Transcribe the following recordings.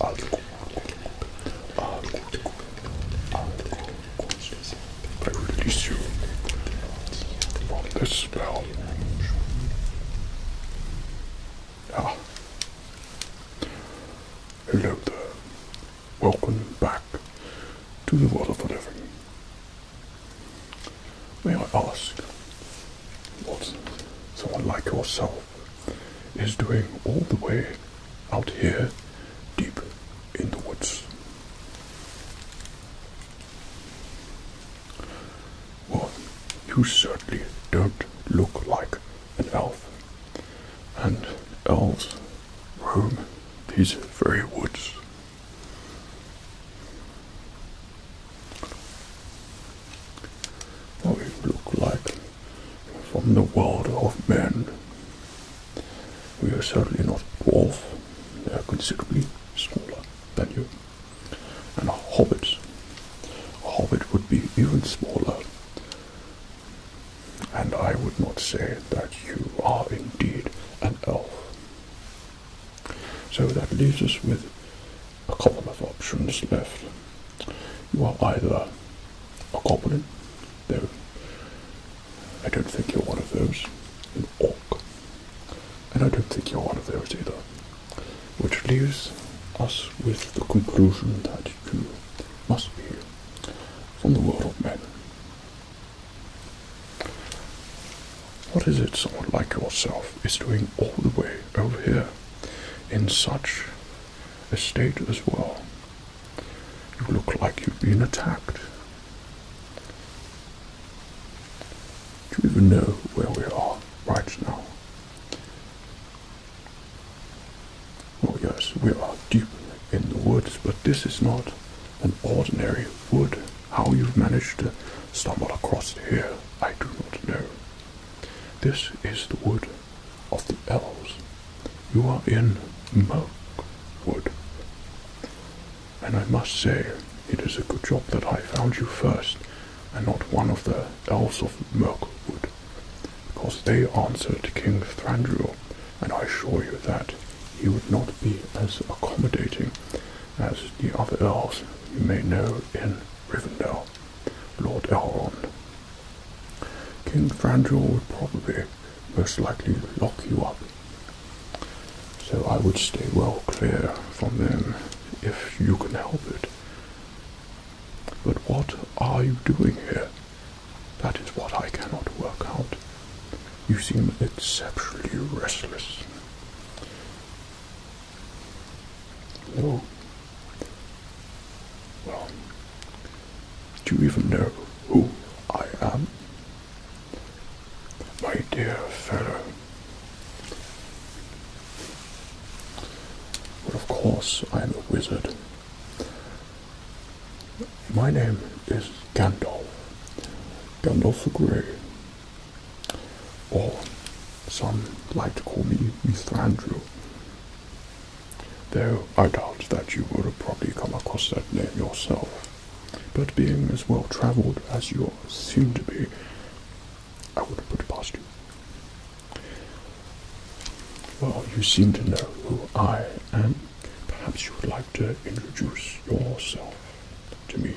algo, algo, algo I release you from this spell. Ah. Hello there. Welcome back to the world of the living. May I ask, what someone like yourself is doing all the way out here deep in the woods. Well, you certainly don't look like an elf, and elves roam these very woods what we look like from the world of men. We are certainly not dwarf, they are considerably smaller than you. And a hobbit, a hobbit would be even smaller. And I would not say that you are indeed an elf. So that leaves us with a couple of options left. You are either a goblin, though I don't think you're one of those, an orc, and I don't think you're one of those either. Which leaves us with the conclusion that you must be from the world of men. What is it someone like yourself is doing all the way over here in such a state as well. You look like you've been attacked. Do you even know where we are right now? Oh yes, we are deep in the woods, but this is not an ordinary wood. How you've managed to stumble across here, I do not know. This is the wood of the elves. You are in Mirkwood. And I must say, it is a good job that I found you first, and not one of the elves of Mirkwood, because they answered King Thranduil, and I assure you that he would not be as accommodating as the other elves you may know in Rivendell, Lord Elrond. King Franjor would probably most likely lock you up. So I would stay well clear from them if you can help it. But what are you doing here? That is what I cannot work out. You seem exceptionally restless. No, do you even know who I am? My dear fellow. of course, I am a wizard. My name is Gandalf. Gandalf the Grey. Or some like to call me Mr. Andrew. Though I doubt that you would have probably come across that name yourself. But being as well travelled as you seem to be, I would have put it past you. Well, you seem to know who I am. Perhaps you would like to introduce yourself to me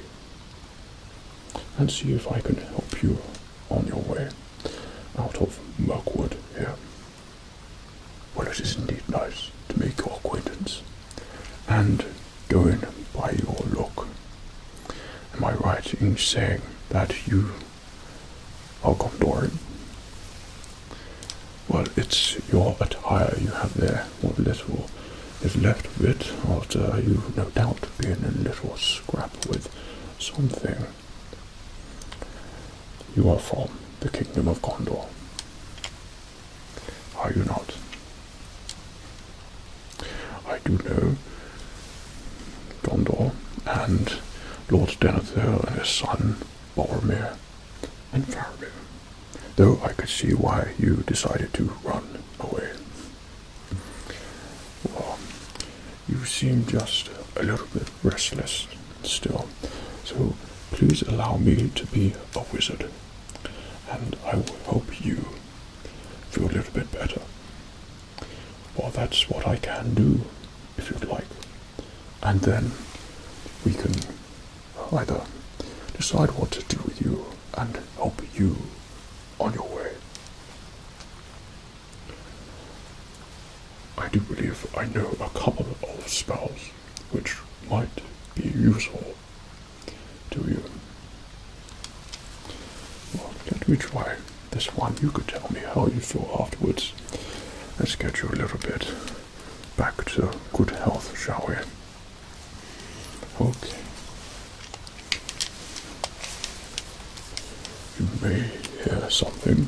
and see if I can help you on your way out of Mirkwood here. Well, it is indeed nice to make your acquaintance and going by your look. Am I right in saying that you are Gondorian? Well, it's your attire you have there, what little is left of it after you no doubt been a little scrap with something you are from the kingdom of Gondor. Are you not? I do know Gondor and Lord Denethor and his son Boromir and Faramir, though I could see why you decided to run away you seem just a little bit restless still. So please allow me to be a wizard, and I will help you feel a little bit better. Well, that's what I can do, if you'd like. And then we can either decide what to do with you and help you on your way. I do believe I know a couple of spells which might be useful to you. Well, let me try this one. You could tell me how you feel afterwards. Let's get you a little bit back to good health, shall we? Okay. You may hear something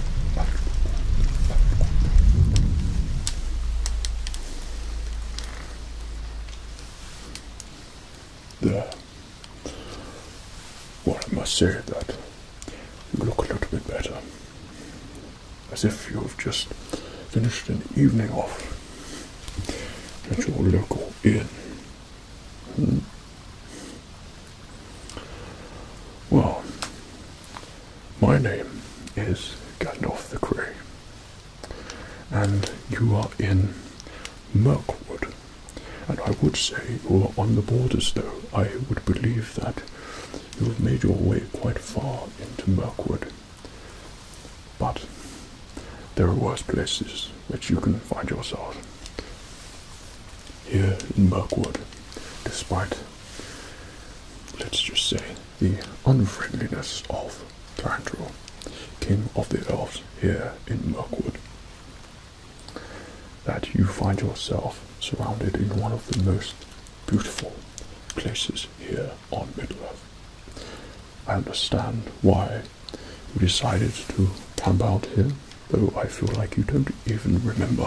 There. Well, I must say that you look a little bit better. As if you've just finished an evening off at your local inn. Hmm? Well, my name is Gandalf the Grey, and you are in Mirkwood. And I would say you are on the borders, though. I would believe that you have made your way quite far into Mirkwood. But there are worse places which you can find yourself here in Buckwood, despite, let's just say, the unfriendliness of Thranduil, king of the elves here in Mirkwood, that you find yourself surrounded in one of the most beautiful places here on Middle-earth. I understand why you decided to come out here Though I feel like you don't even remember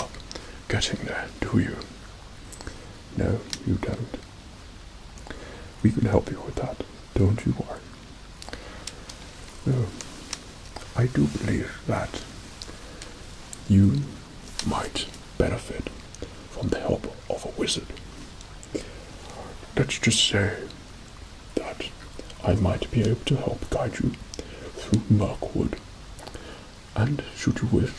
getting there, do you? No, you don't. We can help you with that, don't you worry. No, I do believe that you might benefit from the help of a wizard. Let's just say that I might be able to help guide you through Mirkwood and, should you wish,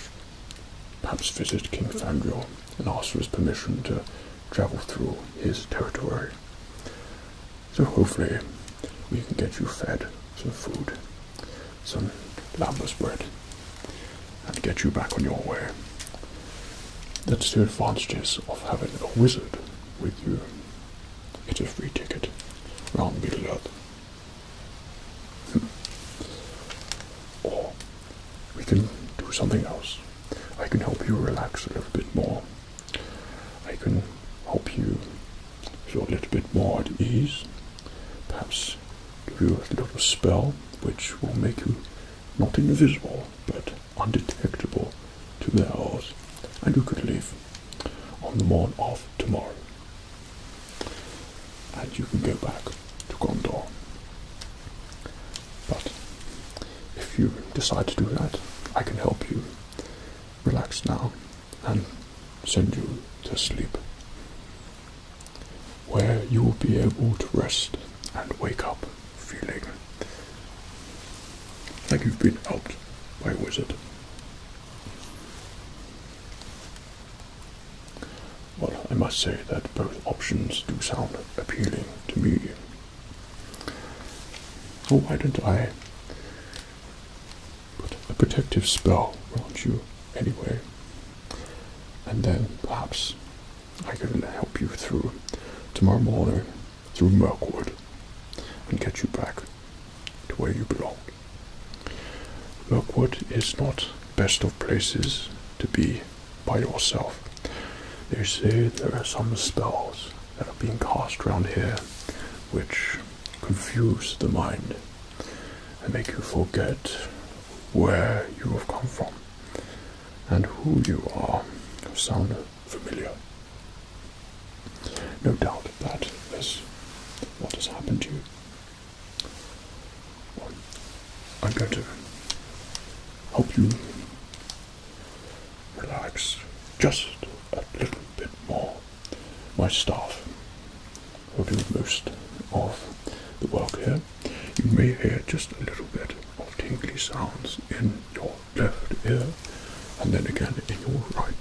perhaps visit King Fandriel and ask for his permission to travel through his territory. So hopefully we can get you fed some food, some lambus bread, and get you back on your way. That's the advantages of having a wizard with you. It's a free ticket. Round the earth or hmm. we can do something else. I can help you relax a little bit more. I can help you feel a little bit more at ease. Perhaps give you a little spell which will make you not invisible but undetectable to their eyes, and you could leave on the morn of tomorrow. And you can go back to Gondor. But if you decide to do that, I can help you relax now and send you to sleep, where you will be able to rest and wake up feeling like you've been helped by a wizard. Well, I must say that both options do sound appealing to me. So oh, why don't I put a protective spell around you anyway? And then perhaps I can help you through tomorrow morning through Merkwood and get you back to where you belong. Lockwood is not best of places to be by yourself. They say there are some spells that are being cast around here which confuse the mind and make you forget where you have come from and who you are. Sound familiar? No doubt that that is what has happened to you. I'm going to help you relax just a little bit more. My staff will do most of the work here. You may hear just a little bit of tingly sounds in your left ear and then again in your right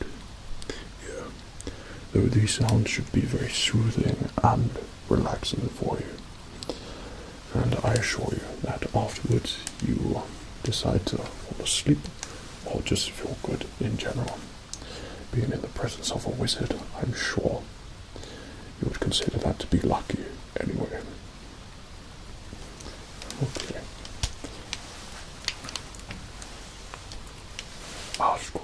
ear though these sounds should be very soothing and relaxing for you. And I assure you that afterwards you decide to fall asleep or just feel good in general. Being in the presence of a wizard, I'm sure you would consider that to be lucky anyway. Okay. Ask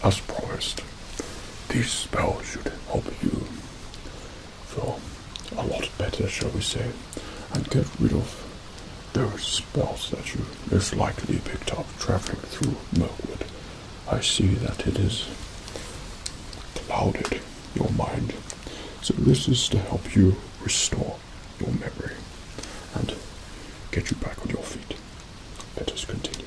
As promised, these spells should help you feel a lot better, shall we say, and get rid of those spells that you most likely picked up traveling through Mirkwood. I see that it is clouded your mind. So this is to help you restore your memory and get you back on your feet. Let us continue.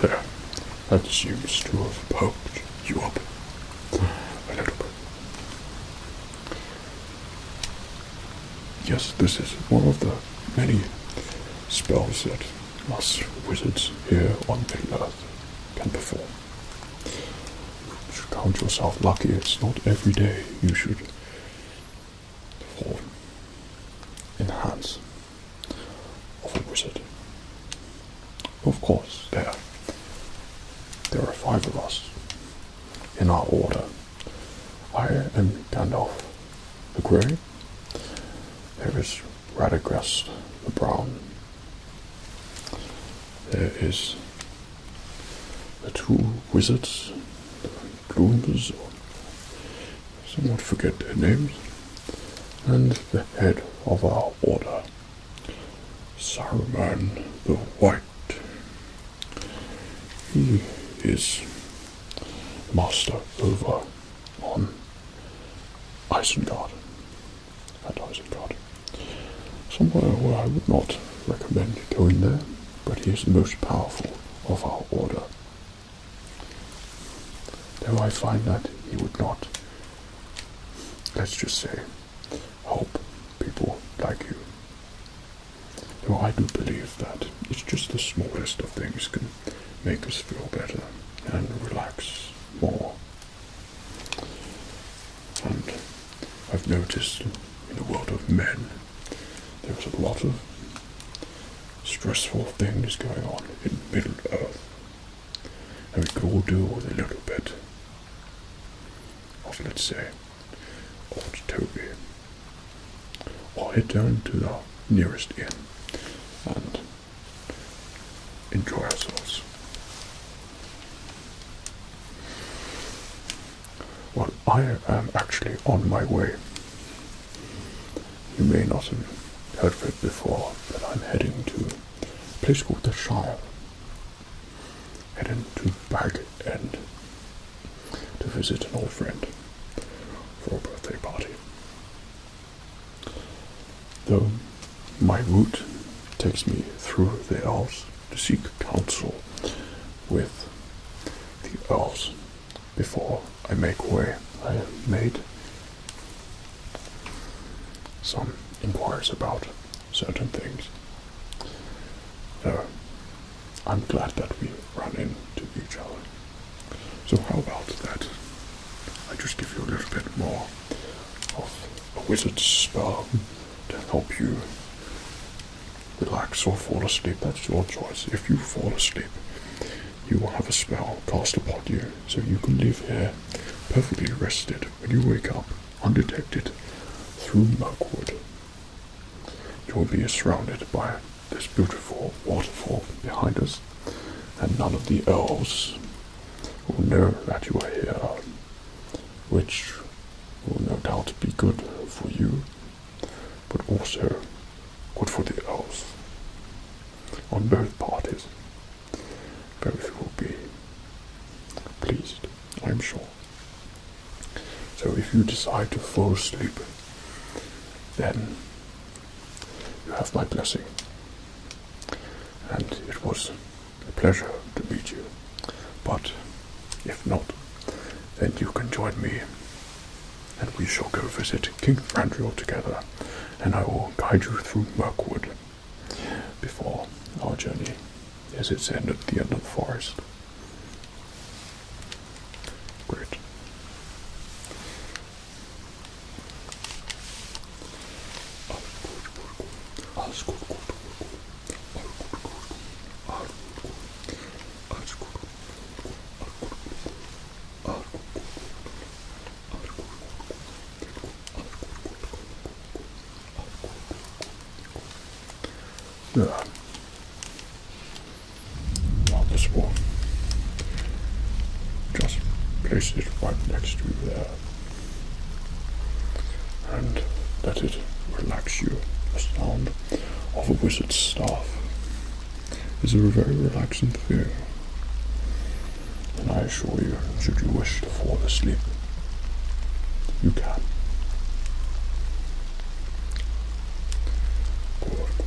There. That seems to have poked you up a little bit. Yes, this is one of the many spells that us wizards here on the earth can perform. You should count yourself lucky. It's not every day you should fall in the hands of a wizard. Of course, there, there are five of us in our order. I am Gandalf the Grey. There is right across the brown. There is the two wizards, the Glooms, somewhat forget their names, and the head of our order, Saruman the White. He is master over on Isengard advertising card. Somewhere where I would not recommend going there, but he is the most powerful of our order. Though I find that he would not, let's just say, hope people like you. Though I do believe that it's just the smallest of things can make us feel better and relax more. And I've noticed in the world of men, there's a lot of stressful things going on in Middle Earth. And we could all do with a little bit of, let's say, old Toby. Or head down to the nearest inn and enjoy ourselves. Well, I am actually on my way. You may not have heard of it before, but I'm heading to a place called the Shire. Heading to Bag End to visit an old friend for a birthday party. Though my route takes me through the elves to seek counsel with the elves. Before I make way, I made some inquiries about certain things. So I'm glad that we run into each other. So how about that? I just give you a little bit more of a wizard's spell to help you relax or fall asleep. That's your choice. If you fall asleep, you will have a spell cast upon you, so you can live here perfectly rested when you wake up, undetected through Mirkwood. You will be surrounded by this beautiful waterfall behind us, and none of the elves will know that you are here which will no doubt be good for you, but also good for the earth. On both parties, both will be pleased, I'm sure. So if you decide to fall asleep, then you have my blessing. And it was a pleasure to meet you. But if not, then you can join me and we shall go visit King Thranduil together and I will guide you through Mirkwood before our journey as it's end at the end of the forest. Great. Yeah. Not Just place it right next to there and let it relax you. The sound of a wizard's staff is a very relaxing thing, and I assure you, should you wish to fall asleep, you can. Good.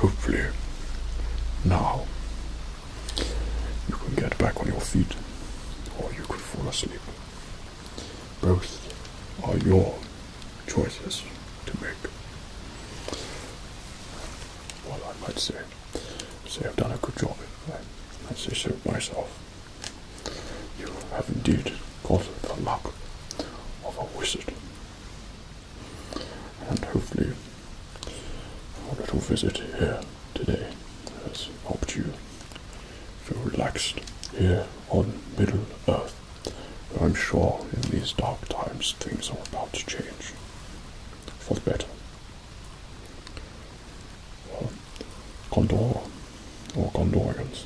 Hopefully, now you can get back on your feet, or you could fall asleep. Both are your choices to make. Well, I might say, say I've done a good job. I, I say so myself. You have indeed got the luck of a wizard. And hopefully, a little visit here today has helped you feel relaxed here on Middle Earth. I'm sure in these dark times things are about to change for the better. Condor or Condorians,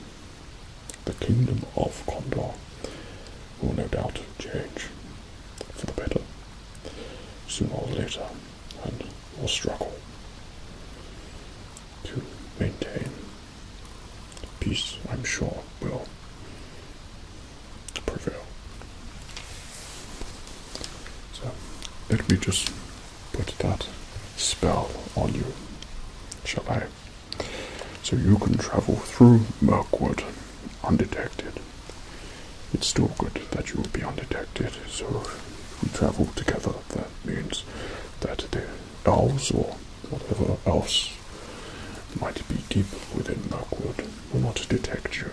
the kingdom of Condor, will no doubt change for the better sooner or later and will struggle to maintain peace, I'm sure, will prevail. So let me just put that spell on you, shall I? So you can travel through Mirkwood undetected it's still good that you will be undetected. So if we travel together, that means that the elves or whatever else might be deep within Mirkwood will not detect you.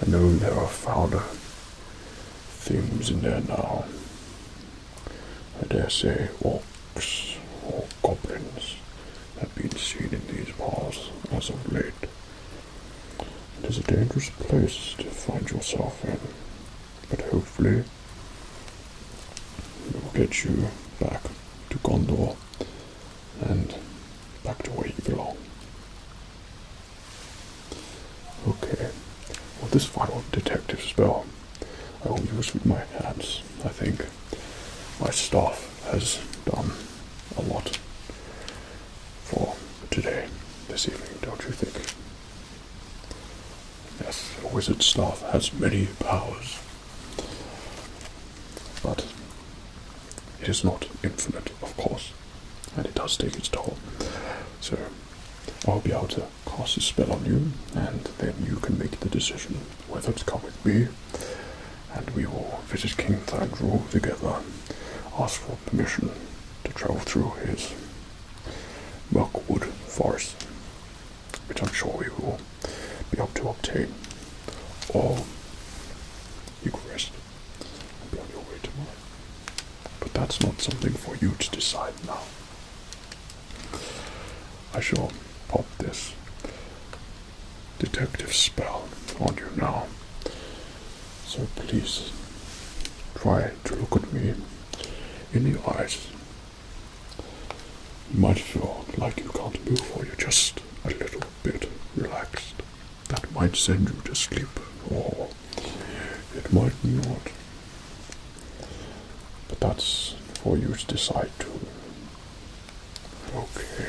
I know there are foul things in there now. I dare say orcs or goblins have been seen in these parts as of late. It is a dangerous place to find yourself in, but hopefully we will get you back to Gondor and back to where you belong. Okay, well, this final detective spell I will use with my hands, I think. My staff has done a lot for today, this evening, don't you think? Yes, a wizard's staff has many powers, but it is not infinite, of course, and it does take its toll. So, I'll be able to cast a spell on you, and then you can make the decision whether to come with me, and we will visit King Thandral together, ask for permission to travel through his blackwood Forest, which I'm sure we will be able to obtain. all Eucharist, and be on your way tomorrow. But that's not something for you to decide now. I shall pop this detective spell on you now so please try to look at me in the eyes. You might feel like you can't move or you're just a little bit relaxed. That might send you to sleep or it might not. But that's for you to decide to. Okay.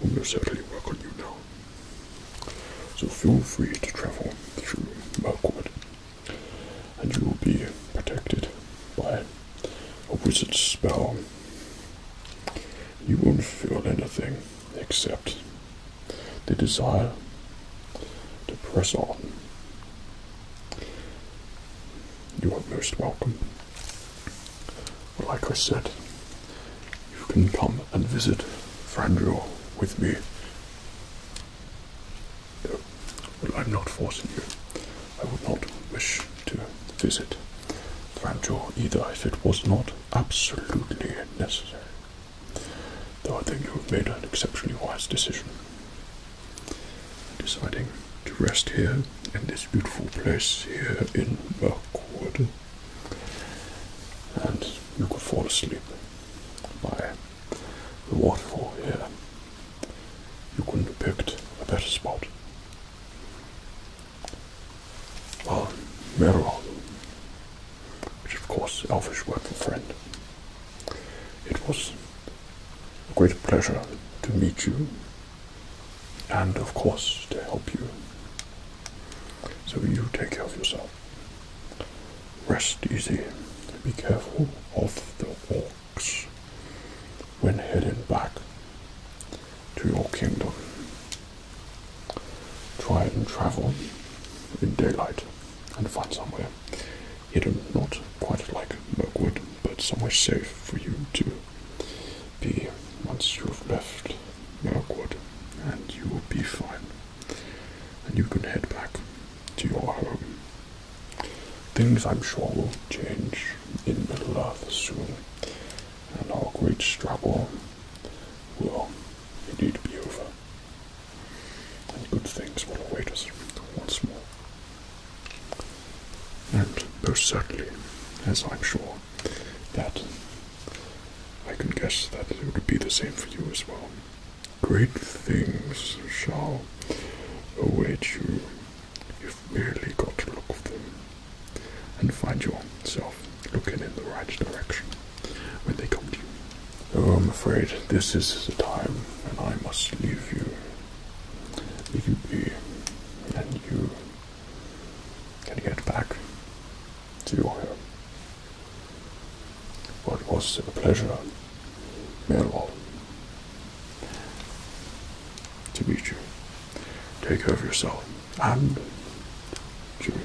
will most certainly work on you now. So feel free to travel through Mirkwood, and you will be protected by a wizard's spell. You won't feel anything except the desire to press on. You are most welcome like I said, you can come and visit Frandrior with me. No, I'm not forcing you. I would not wish to visit Frandrior either if it was not absolutely necessary. Though I think you have made an exceptionally wise decision. Deciding to rest here in this beautiful place here in Mirkwood and you could fall asleep by the waterfall here. You couldn't have picked a better spot. Well, Merrow, which of course is Elfish word for friend. It was a great pleasure to meet you and of course to help you so you take care of yourself. Rest easy. Be careful of the orcs when heading back to your kingdom. Try and travel in daylight and find somewhere hidden, not quite like Mirkwood, but somewhere safe for you to be once you've left Work Mirkwood, and you will be fine. And you can head back to your home. Things I'm sure will change in Middle Earth soon, and our great struggle will indeed be over. And good things will await us once more. And most certainly, as I'm sure that I can guess that it would be the same for you as well. Great things shall await you. You've merely got to look for them and find yourself looking in the right direction when they come to you. Oh, I'm afraid this is the time and I must leave you. Leave you be, and you and get back to your home. What was a pleasure, Melwall, to meet you. Take care of yourself and cheerio.